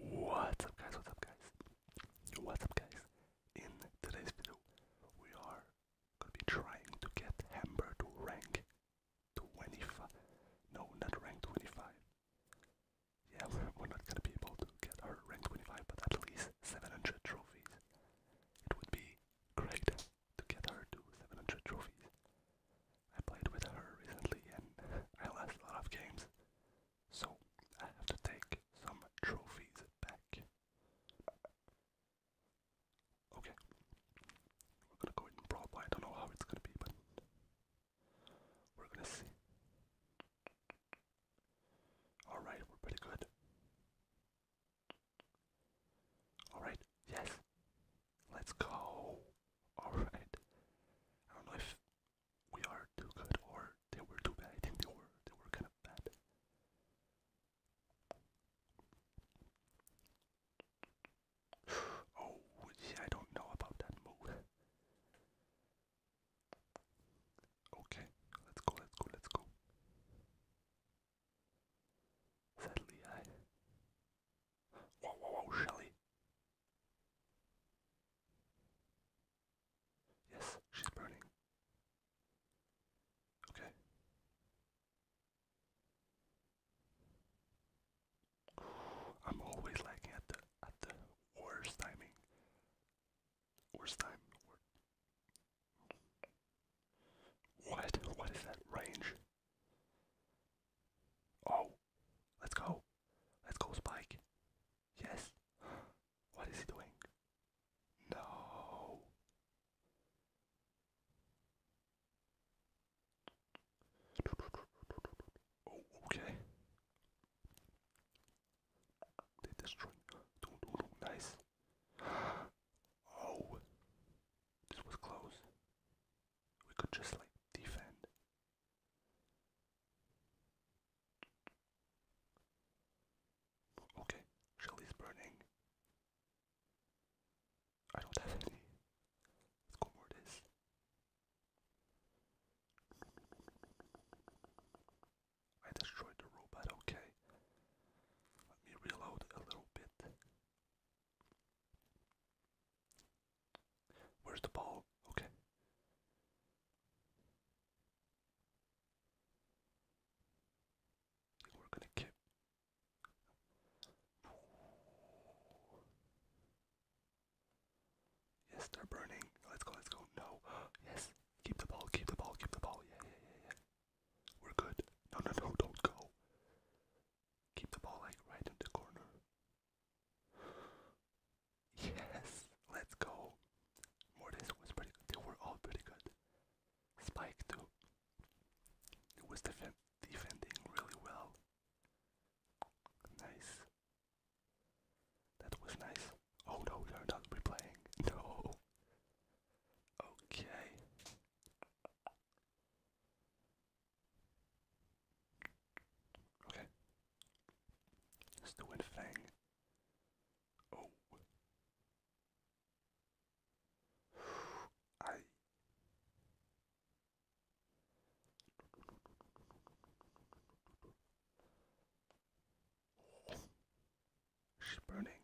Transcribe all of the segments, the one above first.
What's up guys, what's up guys, what's up guys, in today's video we are gonna be trying to get Hamburg to rank 25, no not rank 25, yeah we're, we're not gonna be able to get her rank 25 but at least 700 trophies, it would be great to get her to 700 trophies, I played with her recently and I lost a lot of games so I have to take some trophies back. Okay. We're gonna go in Broadway. I don't know how it's gonna be, but we're gonna see. Alright, we're pretty good. Alright, yes. Let's go. Alright. I don't know if we are too good or they were too bad. I think they were they were kind of bad. Oh I don't know about that move. Okay, let's go, let's go, let's go. Sadly I Whoa, whoa, whoa, Shelly. Yes, she's burning. Okay. I'm always lacking at the at the worst timing. Worst time. What? What is that range? Oh, let's go. Let's go, Spike. Yes. What is he doing? No. Oh, okay. They destroy. Nice. Oh, this was close. We could just like defend. Okay, Shelly's burning. I don't have any. Let's go more this. I destroyed the robot, okay. Let me reload a little bit. Where's the ball? Okay. We're gonna kick. Yes, they're burning. Let's go, let's go. No. Yes. Keep the ball, keep the ball, keep the ball. Yeah, yeah, yeah, yeah. We're good. No, no, no, don't go. Keep the ball like right in the corner. Yes, let's go. Mortis was pretty good. They were all pretty good. Spike too. It was defending really well. Nice. That was nice. Oh no, we are not replaying. No. Okay. Okay. It's the wind fang. Oh. She's burning.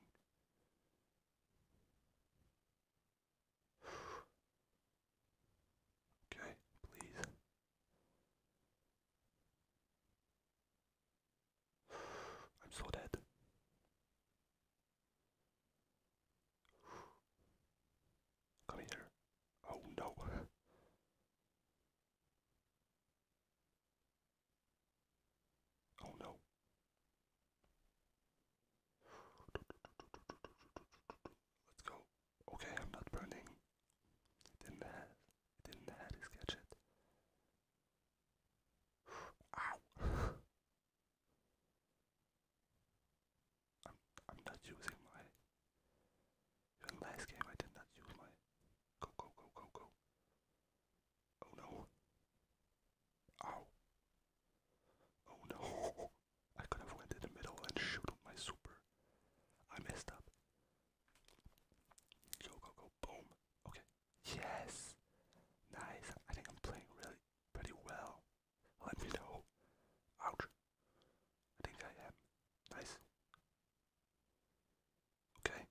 Okay, please. I'm so dead. Come here. Oh no. Oh no. Let's go. Okay, I'm not burning. didn't have didn't have his gadget. Ow I'm I'm not using my even last game I did not use my go go go go go. Oh no. Ow. Oh no. I could have went in the middle and shoot with my super. I messed up. Go go go boom. Okay. Yes. Nice. I think I'm playing really pretty well. Let me know. Ouch. I think I am. Nice. Okay?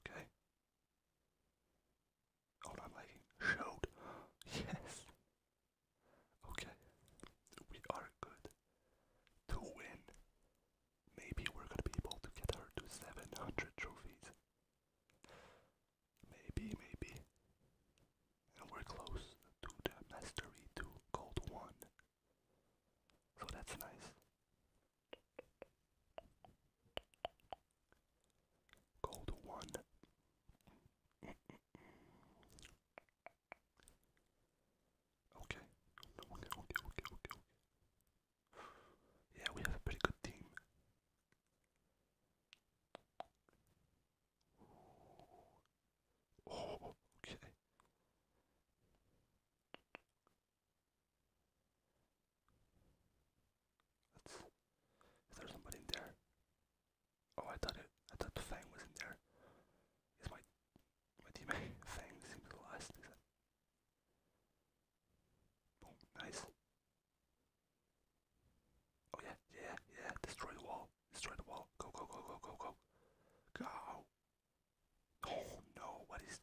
Okay? Oh, not liking. Showed. Yes. Okay. We are good to win. Maybe we're gonna be able to get her to 700 trophies. Maybe, maybe. And we're close to the mastery 2 gold 1. So that's nice. Gold one. okay. Okay, okay, okay, okay, okay. Yeah, we have a pretty good team. Oh, okay is there somebody in there? Oh, I thought I thought the Fang was in there. Is my my teammate Fang seems the last? Nice. Oh yeah, yeah, yeah! Destroy the wall. Destroy the wall. Go, go, go, go, go, go. Go. Oh no, what is.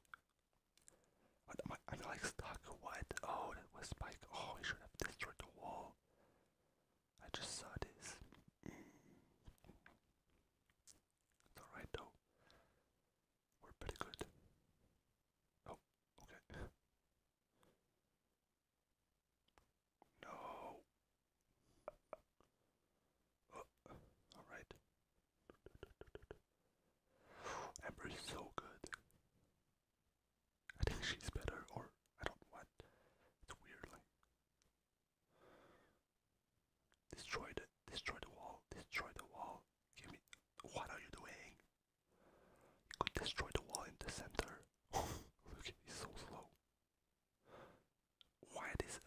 What am I? I'm like stuck. What? Oh, that was Spike. Oh, I should have destroyed the wall. I just saw this. It's alright though. We're pretty good. Oh, okay. No. Uh, alright. Amber is so good. I think she's better, or I don't know It's weird, like. Destroy the, destroy the wall, destroy the wall. Give me. What are you doing? You could destroy the wall in the center. Look, he's so slow. Why this?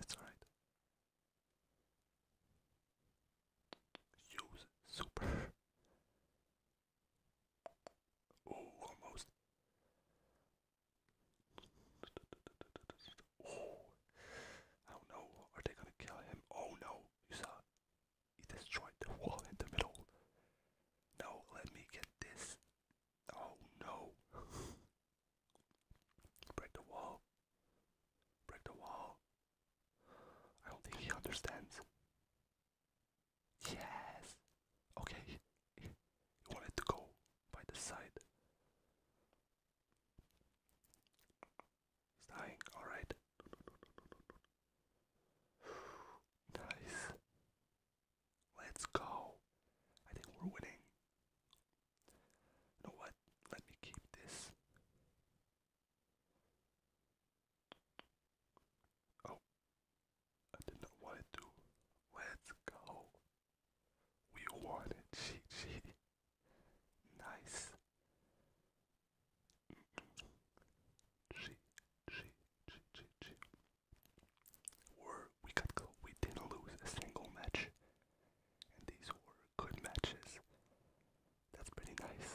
it's alright. Use super. Oh, almost. Oh, I don't know. Are they gonna kill him? Oh no, you saw he destroyed the wall in the middle. Now let me get this. Oh no. Break the wall. Break the wall. I don't think he understands. Yes. Okay. He wanted to go by the side. He's dying, alright. nice. Let's go. I think we're winning. You know what? Let me keep this. Oh. I did not want it to. Let's go. We won it. GG nice. G, G, G, G, G. Or we could we didn't lose a single match. And these were good matches. That's pretty nice.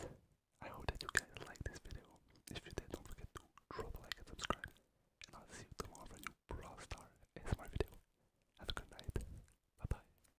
I hope that you guys liked this video. If you did, don't forget to drop a like and subscribe. And I'll see you tomorrow for a new Brawl Star ASMR video. Have a good night. Bye bye.